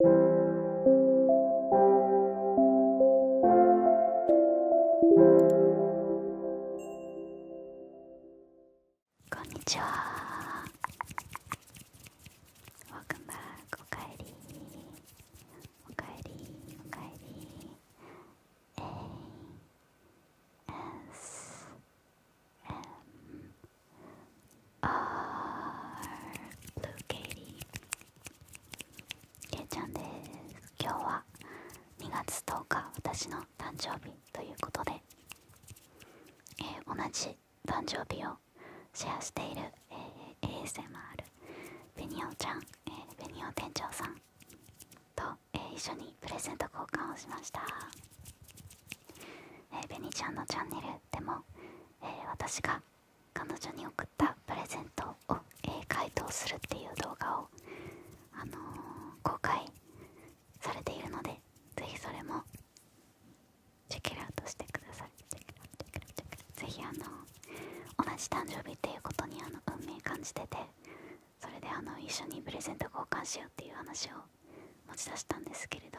こんにちは w e l c o m back おかえりおかえりおかえり A S M are Katie けちゃんです今日は2月10日私の誕生日ということで、え同じ誕生日をシェアしている、え ASMR ベニオちゃん、えベニオ店長さんと、え一緒にプレゼント交換をしましたえベニちゃんのチャンネルでも、え私が彼女に送ったプレゼントを、え回答するっていう動画を、あの公開されているのでぜひそれもチェックトしてくださいぜひあの同じ誕生日っていうことにあの運命感じててそれであの一緒にプレゼント交換しようっていう話を持ち出したんですけれど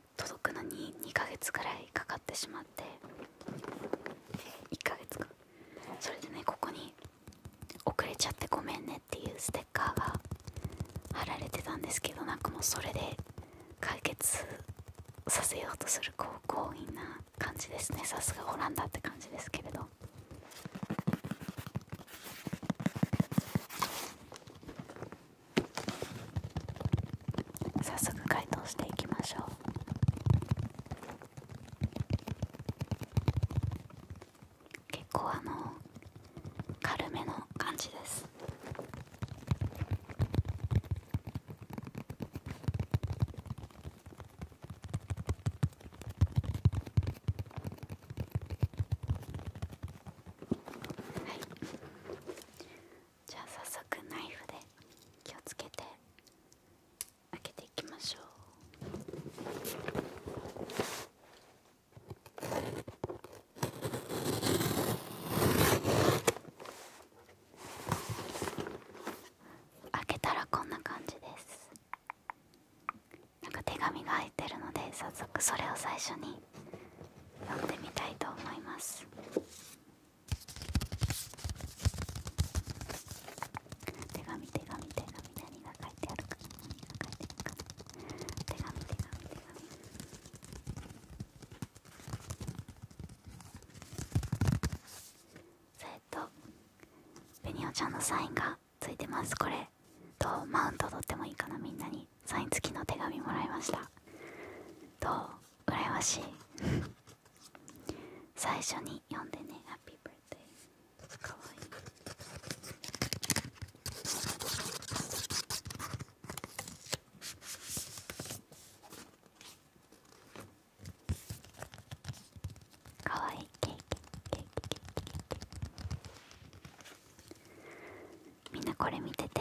届くのに2ヶ月くらいかかってしまって1ヶ月かそれでねここに遅れちゃってごめんねっていうステッカーが貼られてたんですけどなんかもうそれで解決させようとするこう強引な感じですねさすがオランダって感じですけれど。早速解凍していきましょう結構あの軽めの感じですはいじゃあ早速ナイフで気をつけて開けていきましょう開けたらこんな感じですなんか手紙が入ってるので早速それを最初に読んでみたいと思います手紙手紙手紙何が書いてあるか何が書いてあるか手紙手紙手紙それとベニオちゃんのサインがついてますこれとマウント取ってもいいかなみんなにサイン付きの手紙もらいましたどう羨ましい 最初に読んでねハッピーバーデーかわいいかわいいケーキケーキケーキケーキみんなこれ見てて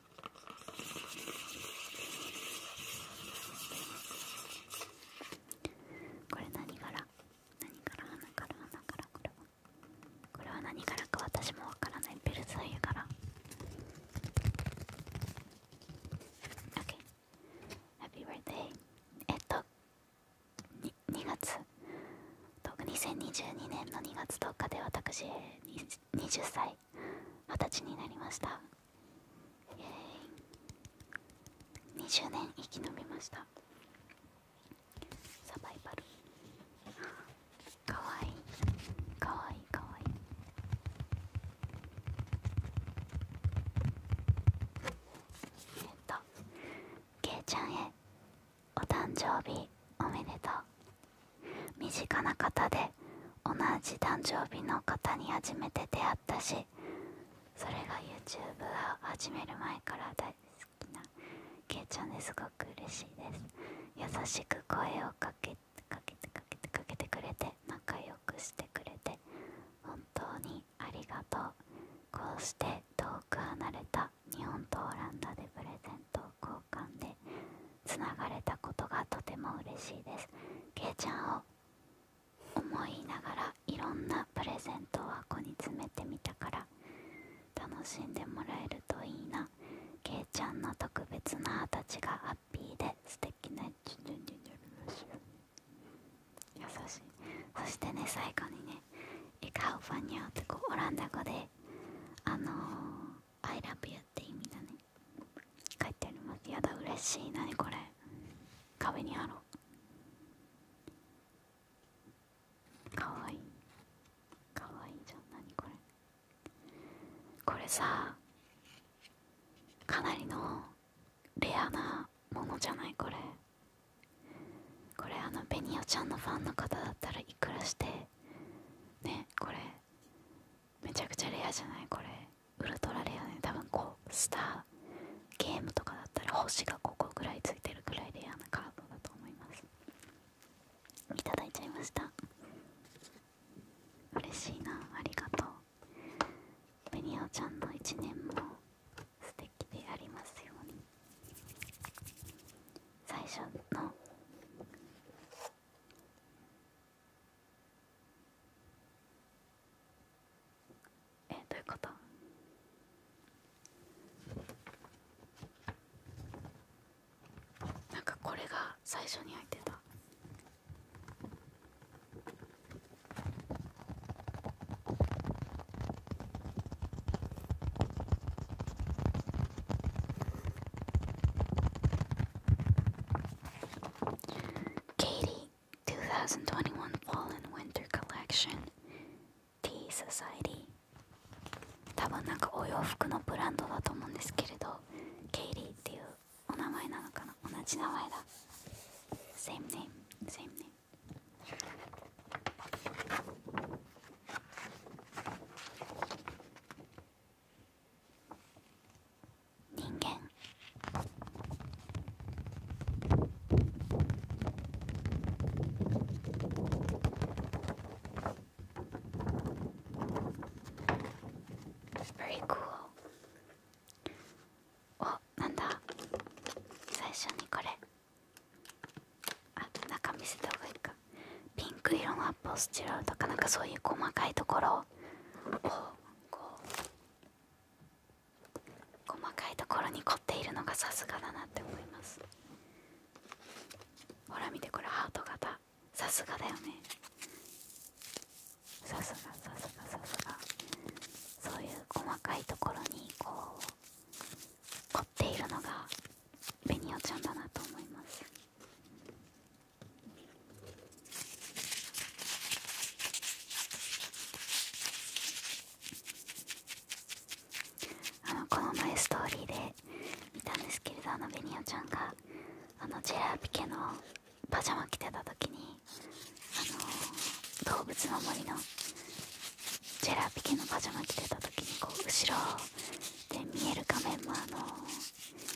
これ何柄何柄花から花からこれはこれは何柄か私もわからないベルザイユ柄 OK Happy birthday えっとに2月2022年の2月10日で私20歳二十歳になりましたイエーイ20年生き延びましたサバイバルかわいいかわいいかわいいえっとけいちゃんへお誕生日おめでとう身近な方で同じ誕生日の方に初めて出会ったしそれが YouTube を始める前から大好きなけいちゃんですごく嬉しいです優しく声をかけかけてかけてかけてくれて仲良くしてくれて本当にありがとうこうして遠く離れた日本とオランダでプレゼントを交間でつながれたことがとても嬉しいですけいちゃんを思いながらいろんなプレゼントを箱に詰めてみたから楽しんでもらえるといいなけいちゃんの特別なハたちがハッピーで素敵な優しいそしてね最後にね「エカオファニアってこうオランダ語であのアイラブユ y って意味だね書いてありますやだ嬉しいなこれ壁に貼ろうかわいいかわいいじゃんなにこれこれさかなりのレアなものじゃないこれこれあのベニオちゃんのファンの方だったらいくらしてねこれめちゃくちゃレアじゃないこれウルトラレアね多分こうスターゲームとかだったら星がここぐらいついてるくらいレアなカードだと思いますいただいちゃいました嬉しいなありがとうベニオちゃんの一年も素敵でありますように最初のえどういうことなんかこれが最初に入ってた Katie, 2021 Fall and Winter Collection, T Society 多分なんかお洋服のブランドだと思うんですけれど、Katie っていうお名前なのかな同じ名前だ。Same name, same name. 人間おなんだ最初にこれあ中見せた方がいいかピンク色のアップをスチロールとかなんかそういう細かいところををこう細かいところに凝っているのがさすがだなって思いますほら見てこれハート型さすがだよねさすがさすがさすがそういう細かいところにこう凝っているのがベニオちゃんだなと思いますあのこの前ストーリーで見たんですけれどあのベニオちゃんがあのジェラーピケのパジャマ着てた時にあの動物の森のジェラーピケのパジャマ着てた時にこう後ろで見える画面もあの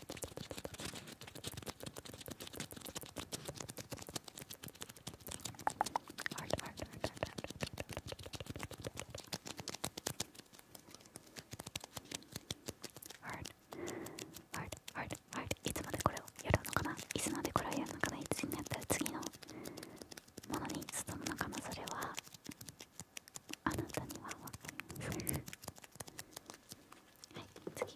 art, art, art, art, art, art, art, art, art, いつまでこれをやるのかないつまでこれをやるのかないつになったら次のものに進むのかなそれはあなたには分かりませんはい次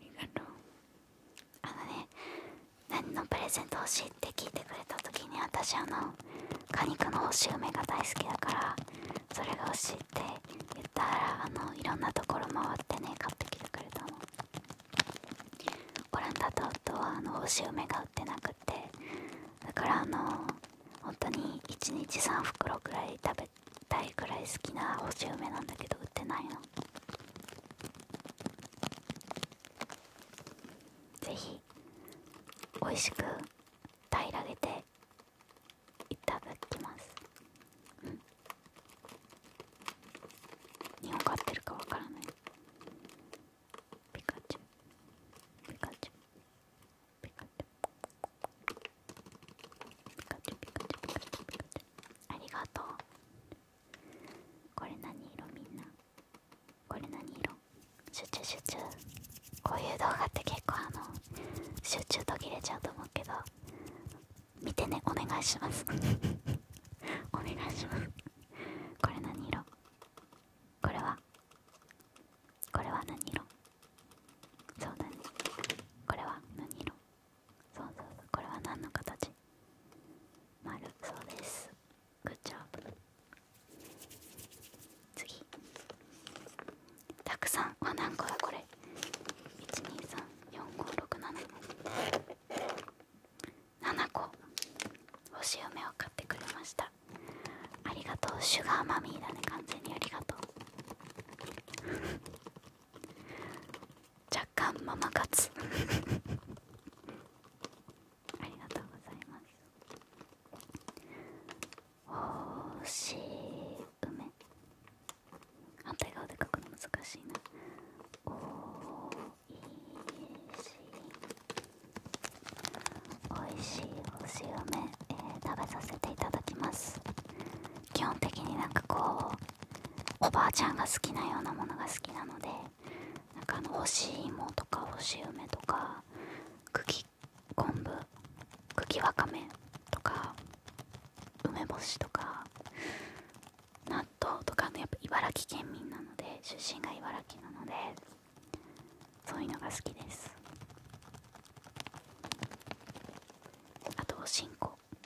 りがとうあのね何のプレゼント欲しいって聞いてくれた時に私あの果肉の干し梅が大好きだからそれが欲しいって言ったらあのいろんなところ回ってね買ってきたくれたのオランダと夫はあの星梅が売ってなくってだからあの本当に1日3袋くらい食べべくらい好きな星梅なんだけど売ってないのぜひ美味しく平らげていただきます、うん、日本買ってるかわからないピカチュウピカチュウピカチュウありがとうこれ何色みんなこれ何色シュュチ集ュチュ？こういう動画って結構あの集中途切れちゃうと思うけど見てねお願いしますお願いしますこれ何色これはこれは何色そうだねこれは何色そうそうそうこれは何の形丸そうですグッジョブ次たくさんあ何個だこれ1234567 7個星梅を買ってくれましたありがとうシュガーマミーだね完全にありがとう若干ママ活 ありがとうございますおし梅反対側で書くの難しいなおいしいおいしいおし梅、え食べさせていただきます基本的になんかこうおばあちゃんが好きなようなものが好きなのでなんかあの干し芋とか干し梅とか茎昆布茎わかめとか梅干しとか納豆とかのやっぱ茨城県民なので出身が茨城なのでそういうのが好きですあとおしんこ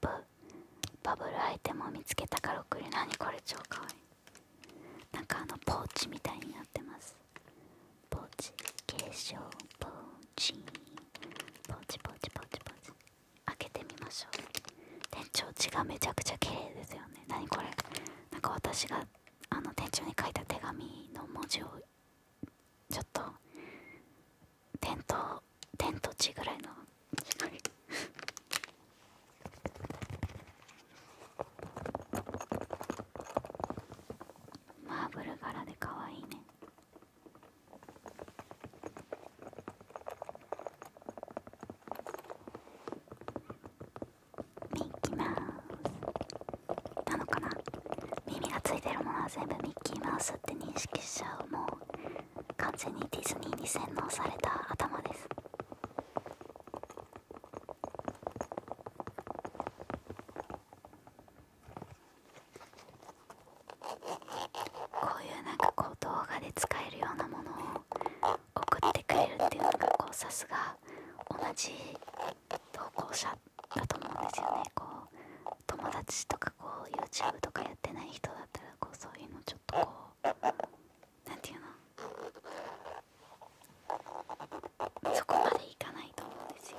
プバブルアイテムを見つけたから送な何これ超かわいいなんかあのポーチみたいになってますポーチ化粧ポーチポーチポーチポーチポーチ開けてみましょう店長地がめちゃくちゃ綺麗ですよねなにこれなんか私があの店長に書いた手紙の文字をちょっとテント、テント地ぐらいの マーブル柄でかわいいねミッキーマウスなのかな耳がついてるものは全部ミッキーマウスって認識しちゃうもう完全にディズニーに洗脳された頭ですこういうなんかこう動画で使えるようなものを送ってくれるっていうのがこうさすが同じ投稿者だと思うんですよねこう友達とかこう YouTube とかやってない人だったらこうそういうのちょっとこうなんていうのそこまでいかないと思うんですよ。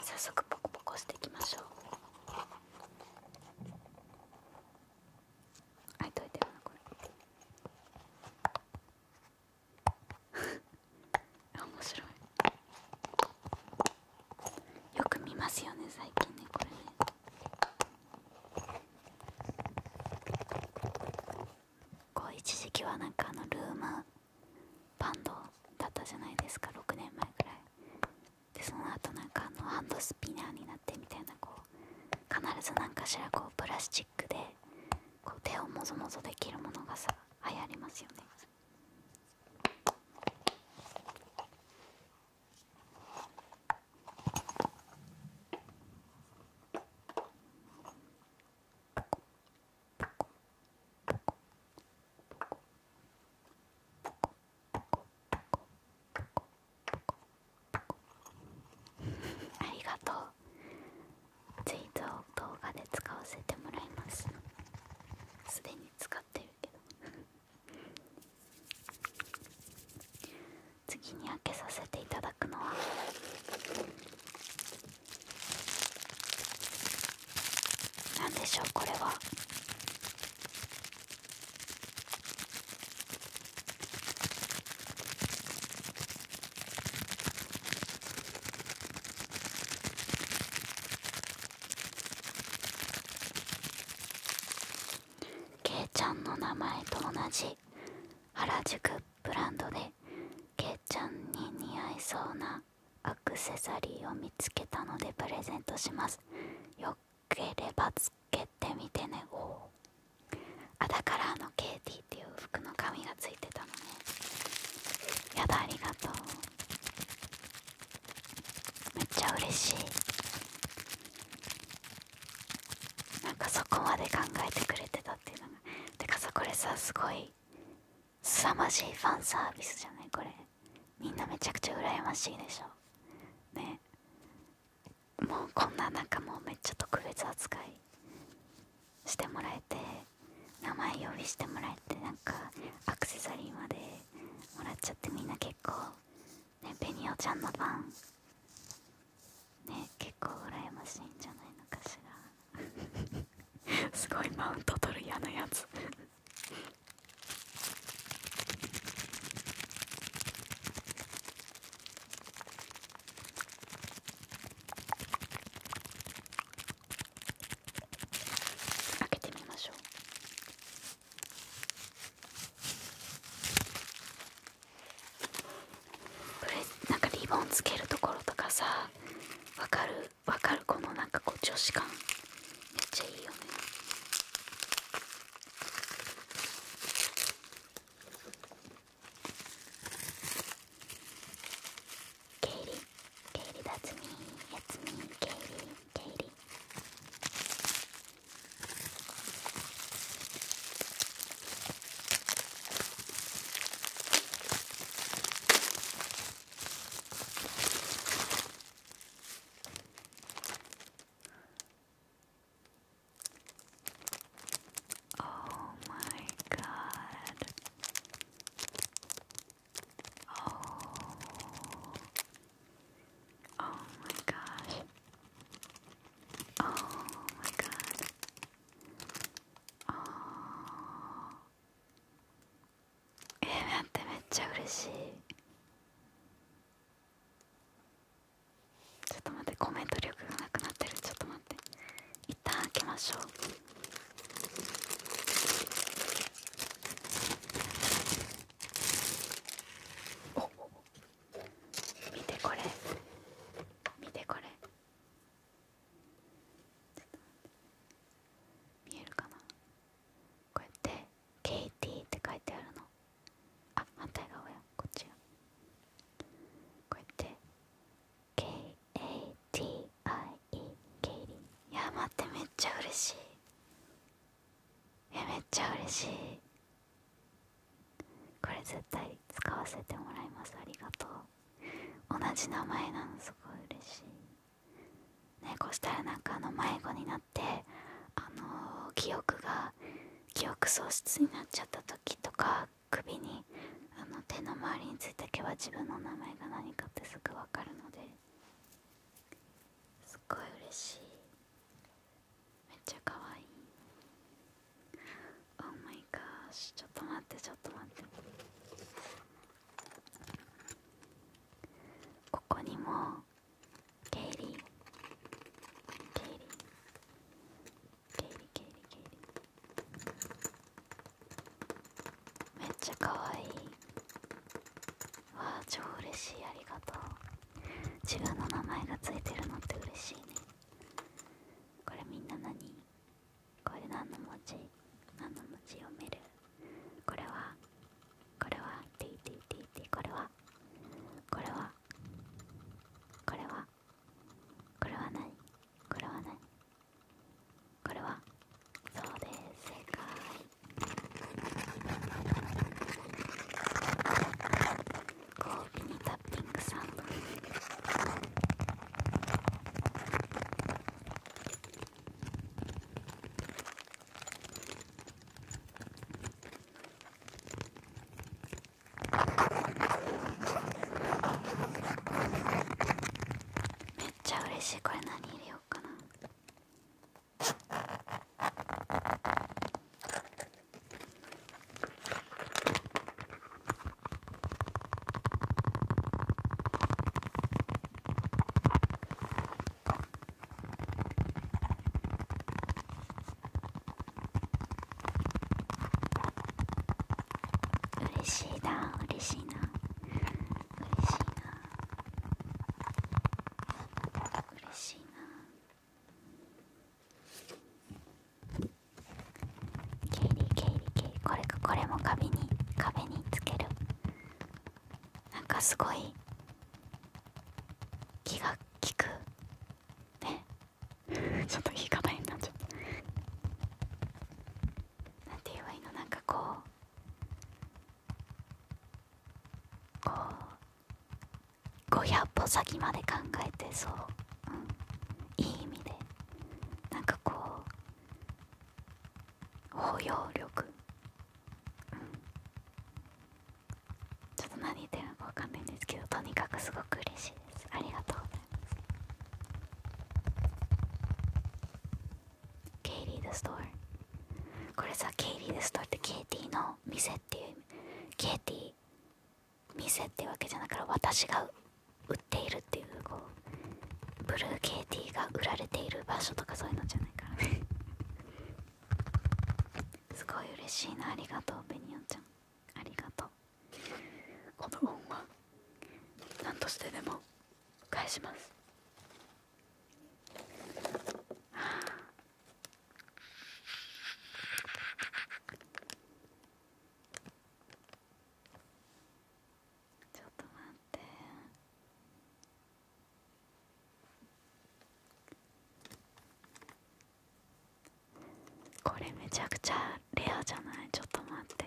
早速ポコポコしていきましょうあいといてるなこれ 面白いよく見ますよね最近ねこれねこう一時期はなんかあのルームバンドだったじゃないですか6年前ぐらいでその後なんかあのハンドスピナーになってみたいなこう必ず何かしらこうプラスチックでこう手をもぞもぞできるものがさ流行りますよねここポコポコポコポコポコポコポコありがとうツイートを動画で使わせてもらいますすでに使ってるけど次に開けさせていただくのは何でしょうこれはけいちゃんの名前と同じ原宿ブランドでけいちゃんに似合いそうなアクセサリーを見つけたのでプレゼントしますよければつけてみてねおあだからあのケイティっていう服の紙がついてたのねやだありがとうめっちゃ嬉しいなんかそこまで考えてくれてたっていうのがてかさこれさすごい凄まじいファンサービスじゃないこれみんなめちゃくちゃ羨ましいでしょねもうこんなかもうめっちゃ特別扱いしてもらえて名前呼びしてもらえてなんかアクセサリーまでもらっちゃってみんな結構ねベニオちゃんのファンね結構羨ましいんじゃないのかしら すごいマウント取る嫌なやつ開けてみましょうこれなんかリボンつけるところとかさわかるわかるこのなんかこう女子感めっちゃいいよねケイリケイリだつみやつみケイリケイリ Oh my God. Oh. Oh my gosh. Oh my God. Oh. え待ってめっちゃ嬉しいちょっと待ってコメント力がなくなってるちょっと待って一旦開けましょうお見てこれ見てこれちょっと待って見えるかなこうやって「ケイティ」って書いてあるのあ反対側やこっちやこうやって「KATIE」ケイリいや待ってめっちゃ嬉しいえめっちゃ嬉しいこれ絶対使わせてもらいますありがとう同じ名前なのすごい嬉しいねこうしたらなんかあの迷子になってあの記憶が記憶喪失になっちゃった時とか首にあの手の周りについた毛は自分の名前が何かってすぐ分かるのですっごい嬉しいめっちゃ可愛い Oh my gosh ちょっと待ってちょっと待ってここにもイイリーリー経イリー経イリーめっちゃかわいいわあ超嬉しいありがとう自分の名前がついてるのって嬉しいねこれみんな何これ何の文字何の文字読めるこれはこれはティ TTTT これはこれはこれはこれは何これは何これはそうです正解ご褒美にタッピングサンドめっちゃ嬉しいこれ何入れようかな嬉しいな嬉しいな嬉しいな嬉しいなケイリーケイリーケイこれかこれも壁に壁につけるなんかすごい気が利くね ちょっと言い方になっちゃったなんて言えばいいのなんかこうこう500歩先まで考えてそう、いい意味でなんかこう包容力、うん、ちょっと何言ってるのかわかんないんですけどとにかくすごく嬉しいですありがとうございますケイリー・ド・ストーリー。これさケイリー・ド・ストーリーってケイティの店っていうケイティ店っていうわけじゃなくて私が売っているっていうこうブルーティーが売られている場所とかそういうのじゃないからね すごい嬉しいなありがとうベニオちゃんありがとうこの恩は何としてでも返しますはあ。ちょっと待ってこれめちゃくちゃレアじゃないちょっと待って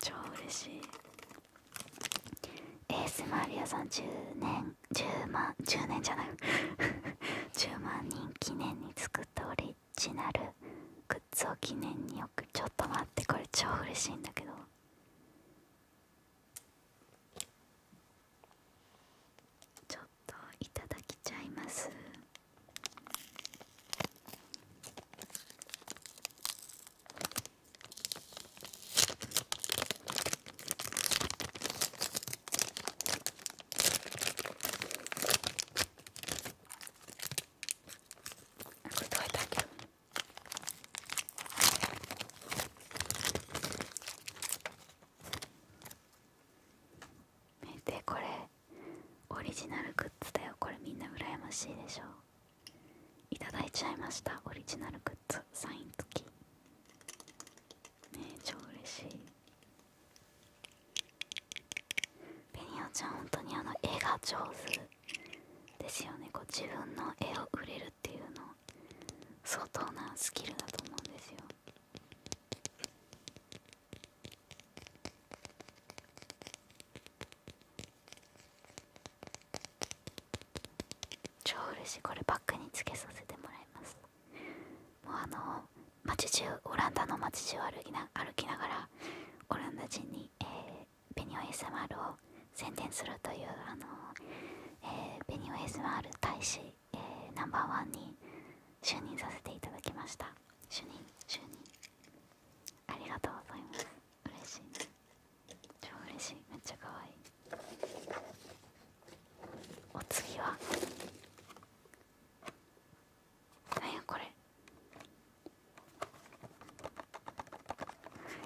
超嬉しいエースマリアさん10年10万10年じゃない10 万人記念に作っており。ッなるグッズ記念に置くちょっと待ってこれ超嬉しいんだけどちょっといただきちゃいますこれどうやって開ける見てこれオリジナルグッズだよこれみんな羨ましいでしょいただいちゃいましたオリジナルグッズサイン付きめねえ超嬉しいベニオちゃん本当にあの絵が上手ですよねこう自分の絵をくれるっていうの相当なスキルだと思うんですよ超嬉しいこれバッグにつけさせてもらいますもうあの街中オランダの街中歩きな歩きながらがオランダ人に、えー、ベニオ ASMR を宣伝するというあの、えー、ベニオ ASMR 大使、えー、ナンバーワンに就任させていただきました就任就任ありがとうございます嬉しい超嬉しいめっちゃ可愛いお次は何やこれ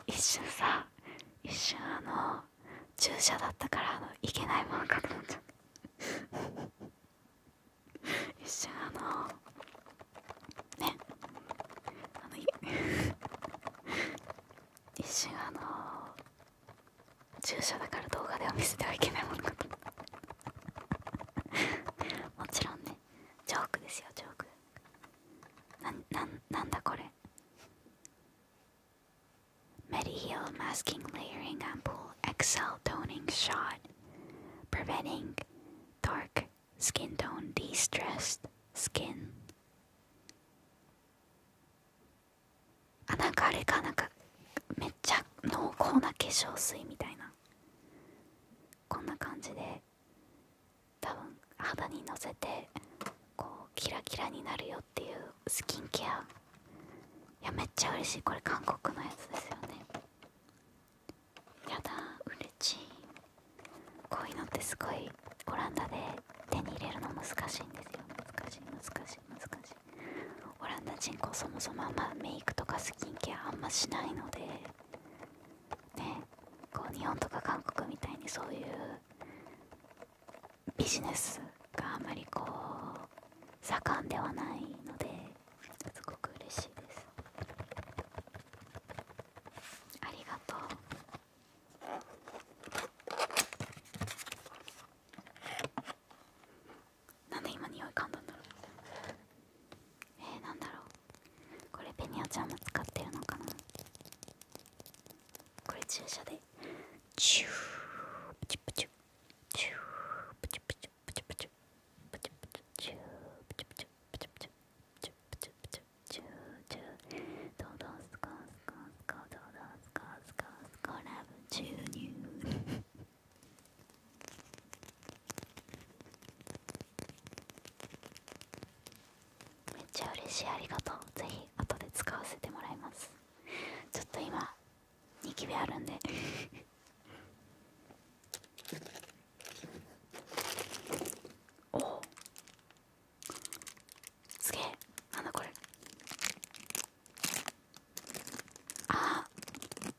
一瞬さ一瞬あの注射だったからあのいけないもんかと思っゃった一瞬あのねあのい。一瞬あの注射だから動画では見せてはいけないもんかと もちろんねねジョークですよジョークなななんだこれ Mediheal masking layering ampoule excel toning shot preventing dark skin tone de-stressed skin あなんかあれかなんかめっちゃ濃厚な化粧水みたいなこんな感じで多分肌にのせてこうキラキラになるよっていうスキンケアやめっちゃ嬉しいこれ韓国のやつですよねやだ嬉しいこういうのってすごいオランダで手に入れるの難しいんですよ難しい難しい難しいオランダ人口そもそもあんまメイクとかスキンあんましないのでねこう日本とか韓国みたいにそういうビジネスがあまりこう盛んではないのですごく嬉しいですありがとうなんで今匂い噛んだんだろうえなんだろうこれペニアちゃんも使ってるのかなこれ注射でチュープチュプチュチュープチュプチュプチュプチュプチュプチュチュープチュプチュプチュプチュチュプチュプチュチューチュードドスコスコスコドドスコスコスコラブ注入めっちゃ嬉しいありがとうぜひ後で使わせてもらいますちょっと今ニキビあるんでおおすげえなんだこれああ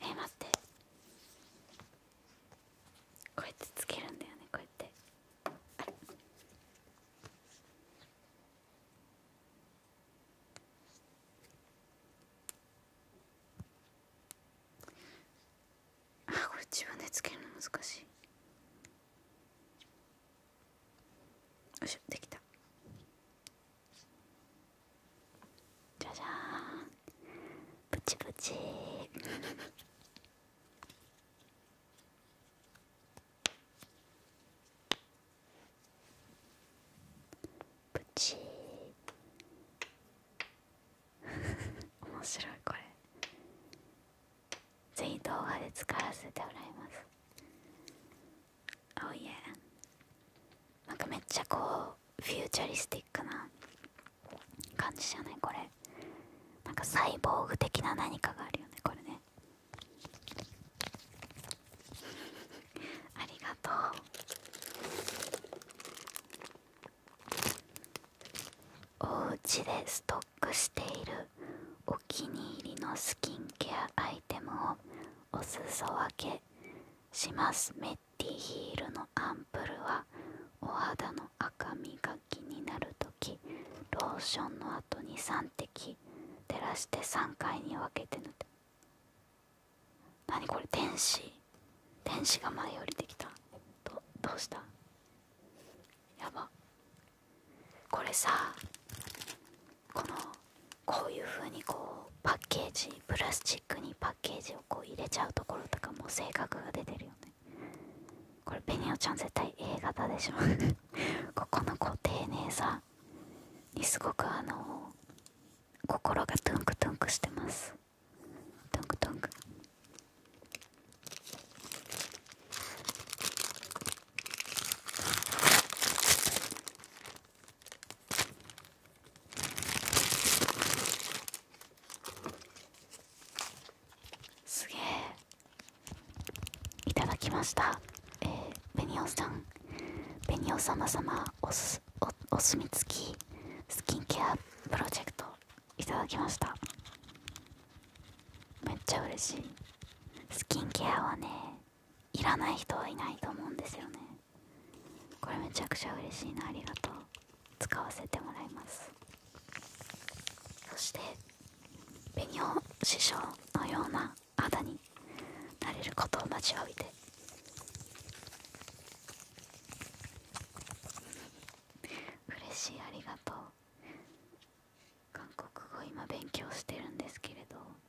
え待ってこうやってつけるんだよねこうやってあれこれ自分でつけるの難しいよしょできたじゃじゃーんプチプチプチ面白いこれぜひ動画で使わせてもらいますおいえなんかめっちゃこうフューチャリスティックな感じじゃないこれなんかサイボーグ的な何かがあるよねこれね ありがとうおうちでストックしているお気に入りのスキンケアアイテムをお裾分けしますめっティヒールのアンプルはお肌の赤みが気になる時。ローションの後に3滴照らして3回に分けて塗って何これ電子。電子が前降りてきたどどうしたやばこれさこのこういう風にこうパッケージプラスチックにパッケージをこう入れちゃうところとかも性格が出てるよねこれペニオちゃん絶対 A 型でしょここのこう丁寧さにすごくあの心がトゥンクトゥンクしてますトゥンクトゥンクすげえいただきましたえー、ベニオさんベニオ様様おすお墨付きスキンケアプロジェクトいただきましためっちゃ嬉しいスキンケアはねいらない人はいないと思うんですよねこれめちゃくちゃ嬉しいなありがとう使わせてもらいますそして紅ニ師匠のような肌になれることを待ちわびて嬉しいありがとう韓国語今勉強してるんですけれど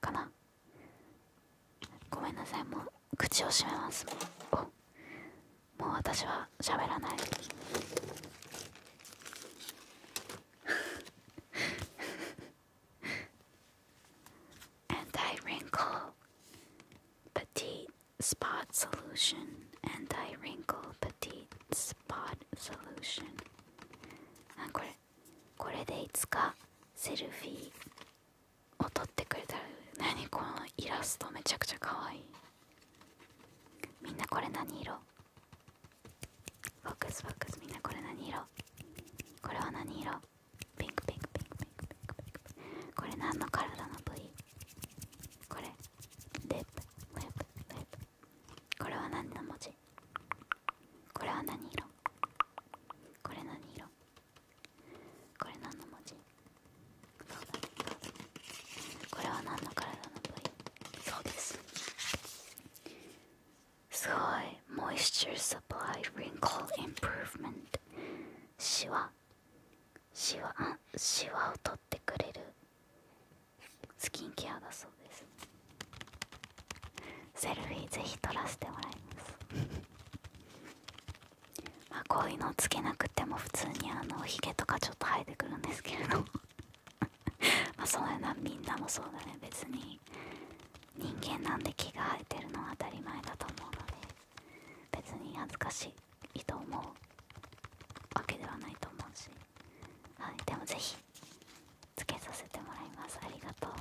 かなごめんなさいもう口を閉めますもうもう私は喋らない Anti-wrinkle petite spot solution Anti-wrinkle petite spot solution あこれこれでいつかセルフィーを撮ってくれたら何このイラストめちゃくちゃかわいいみんなこれ何色フォックスフォックスみんなこれ何色これは何色ピンクピンクピンクピンクピンクピンクこれ何の体の部位これリップリップリップこれは何の文字これは何色これ何色これ何の文字これは何の体の部位そうですすごいモイスチュー r e s イ p p l y インプ n ー l メント。p r o v e m シワシワを取ってくれるスキンケアだそうですセルフィーぜひ撮らせてもらいます。まこういうのをつけなくても普通にあのひげとかちょっと生えてくるんですけれど まそういうのはみんなもそうだね別に人間なんで気が生えてるのは当たり前だと思うので別に恥ずかしいと思うわけではないと思うし、はい、でもぜひしつけさせてもらいますありがとう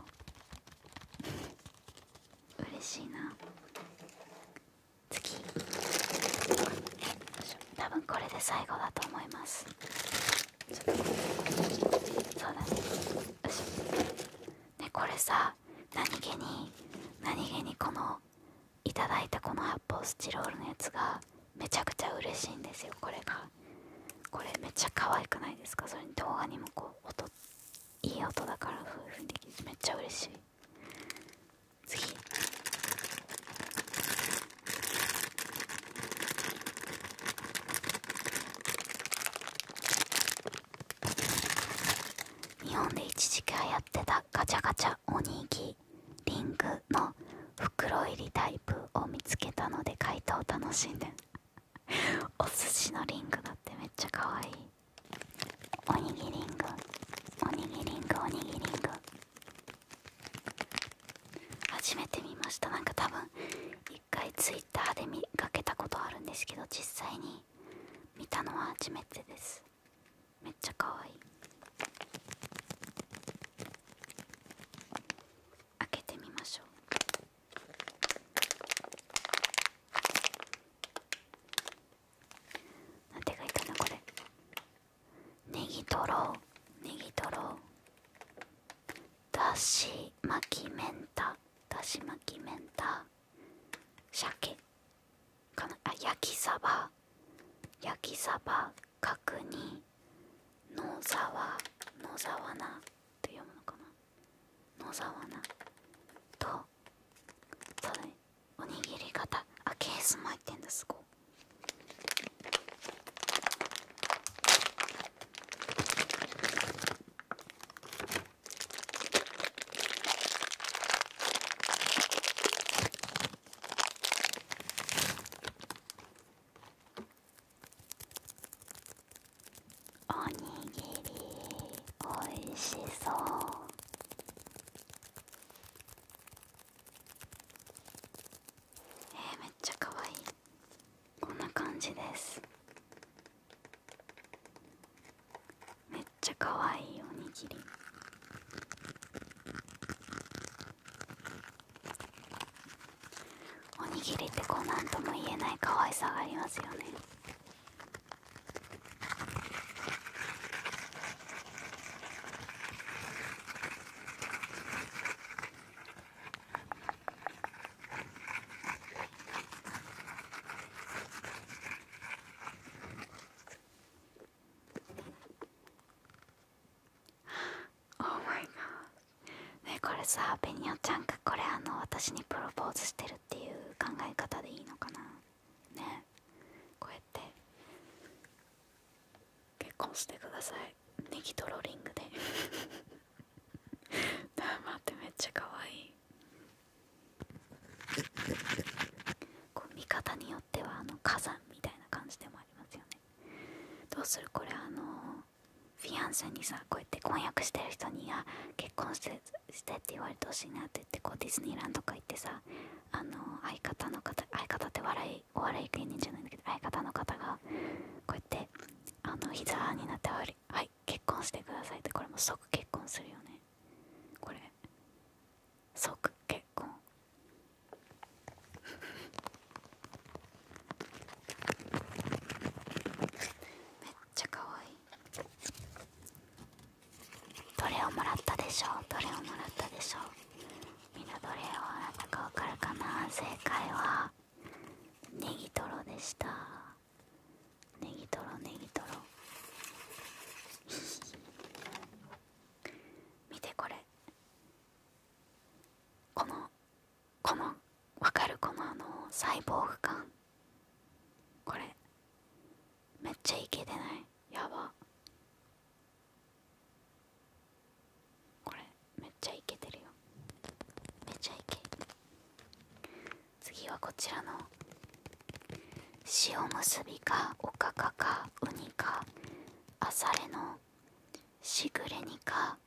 嬉しいな次多分これで最後だと思いますそうだねよしねこれさ何気に何気にこのいただいたこの発泡スチロールのやつがめちゃくちゃ嬉しいんですよこれがこれめっちゃ可愛くないですかそれに動画にもこう音いい音だから夫婦にできるめっちゃ嬉しい次日本で一時期流行ってたガチャガチャおにぎリングの袋入りタイプを見つけたので解答を楽しんでお寿司のリングだってめっちゃかわいいおにぎりんぐおにぎりんぐおにぎりんぐ初めて見ましたなんか多分一回ツイッターで見かけたことあるんですけど実際に見たのは初めてですめっちゃかわいい開けてみましょう何て書いたの、これネギとろうネギとろだし巻きめんただし巻きめんた鮭かなあ焼きサバ焼きサバ角煮野沢野沢菜って読むのかな野沢菜とそれ、おにぎり型あケースも入ってんですごいおにぎりおいしそうえめっちゃかわいいこんな感じですめっちゃかわいいおにぎりおにぎりってこう何とも言えない可愛さがありますよね Oh my god ねこれさベニオちゃんがこれあの私にプロポーズしてるっていう考え方でいいのかなねこうやって結婚してくださいネギトロリングであ、待 ってめっちゃ可愛いこう見方によってはあの火山みたいな感じでもありますよねどうするこれあのフィアンセにさこうやって婚約してる人にあ結婚してって言われてほしいなって言ってこうディズニーランドとか行ってさあの相方の方相方って笑いお笑い芸人じゃないんだけど相方の方がこうやってあの膝になってはり「はい結婚してください」ってこれも即結婚するよねこれ即結婚めっちゃかわいいどれをもらったでしょうどれをもらったでしょうみんなどれをあなたかわかるかな正解はネギトロでしたネギトロネギトロ 見てこれこのこの分かるこのあの細胞不感これめっちゃイケてないやばこれめっちゃイケてるよめっちゃイケ！次はこちらの塩結びかおかかかウニかあされのしぐれにか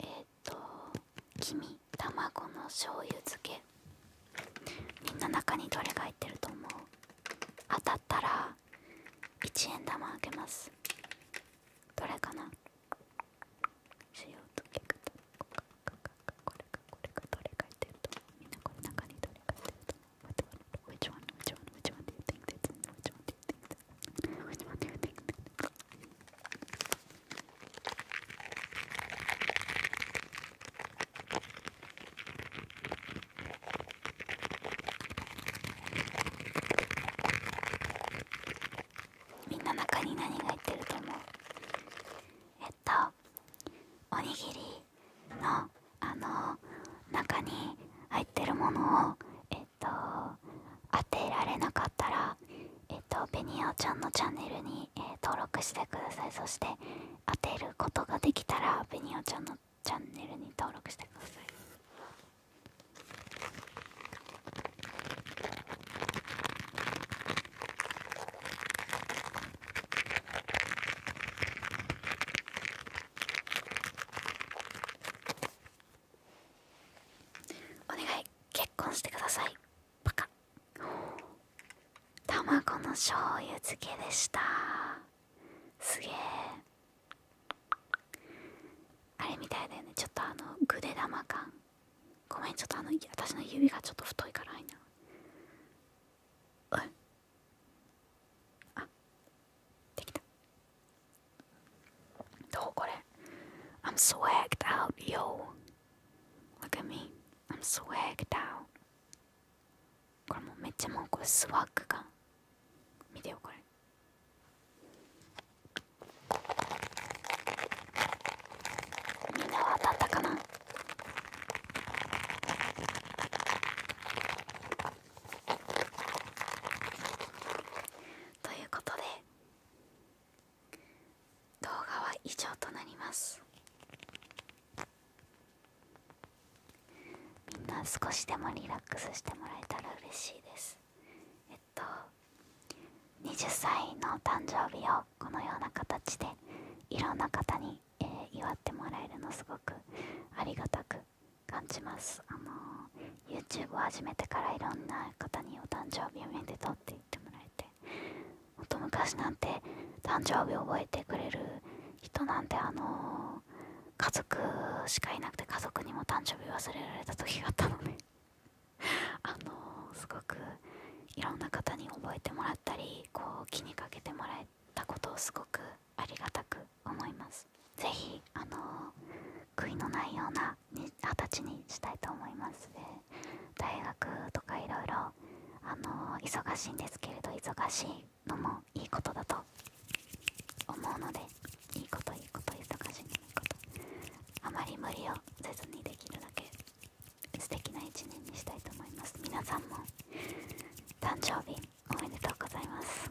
えっ、と黄身卵の醤油漬けみんな中にどれが入ってると思う当たったら1円玉あげますどれかな塩漬けかこれかこれかどれが入ってると思うみんなこれ中にどれが入ってると思う Which one? Which one? Which one? do you think t h a s Which one do you think Which one do みんな中に何が入ってると思うえっとおにぎりのあの中に入ってるものをえっっと当てられなかったらえっとベニオちゃんのチャンネルに、登録してくださいそして当てることができたらベニオちゃんのチャンネルに登録してくださいお願い結婚してくださいバカ卵の醤油漬けでしたすげえあれみたいだよねちょっとあのぐで玉感ごめんちょっとあの私の指がちょっと太いからいなあできたどうこれ ?I'm swagged out, yo.Look at me.I'm swagged out. これもめっちゃもうこれスワッグが。見てよこれ。みんなは当たったかなということで動画は以上となりますみんな少しでもリラックスしてもらえたら嬉しいですえっと20歳の誕生日をこのような形でいろんな方に、えー、祝ってもらえるのすごくありがたく感じますあの YouTube を始めてからいろんな方にお誕生日おめでとうって言ってもらえてほんと昔なんて誕生日覚えてくれる人なんてあの家族しかいなくて家族にも誕生日忘れられた時があったので あのすごくいろんな方に覚えてもらったりこう気にかけてもらえたことをすごくありがたく思います。ぜひあの悔いのないようなは二十歳にしたいと思いますで大学とかいろいろあの忙しいんですけれど忙しいのもいいことだと思うのでいいこといいこと忙しいのいいことあまり無理をせずにできるだけ素敵な一年にしたいと思います皆さんも誕生日おめでとうございます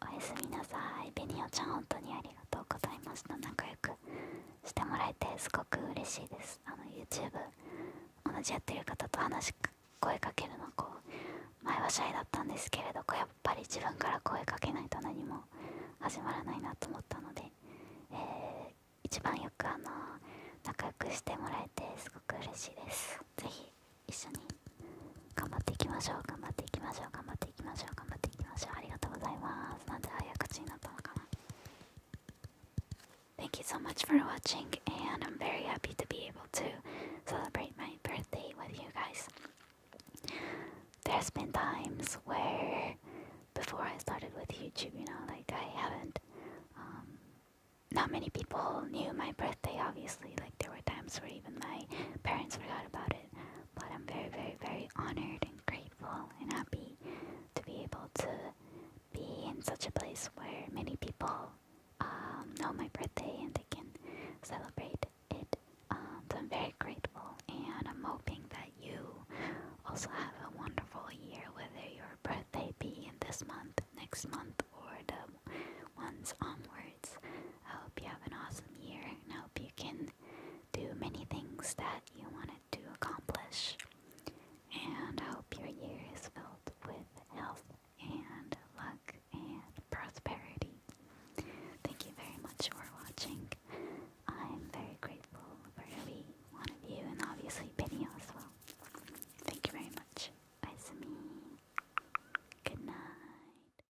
おやすみなさいベニオちゃん本当にありがとうございました仲良くしてもらえてすごく嬉しいですあの YouTube 同じやってる方と話声かけるのこう前はシャイだったんですけれどやっぱり自分から声かけないと何も始まらないなと思ったので、えー、一番よくあの仲良くしてもらえてすごく嬉しいです是非一緒に Thank you so much for watching and I'm very happy to be able to celebrate my birthday with you guys There's been times where before I started with YouTube you know like I haven't um, not many people knew my birthday obviously like there were times where even my parents forgot about it but I'm very, very, very honored and grateful and happy to be able to be in such a place where many people um, know my birthday and they can celebrate it. Um, so I'm very grateful and I'm hoping that you also have a wonderful year, whether your birthday be in this month, next month, or the ones onward. I hope you have an awesome year and I hope you can do many things that you wanted to accomplish. And I hope your year is filled with health and luck and prosperity. Thank you very much for watching. I'm very grateful for every one of you and obviously Benio as well. Thank you very much. Bye, Sami. Good night.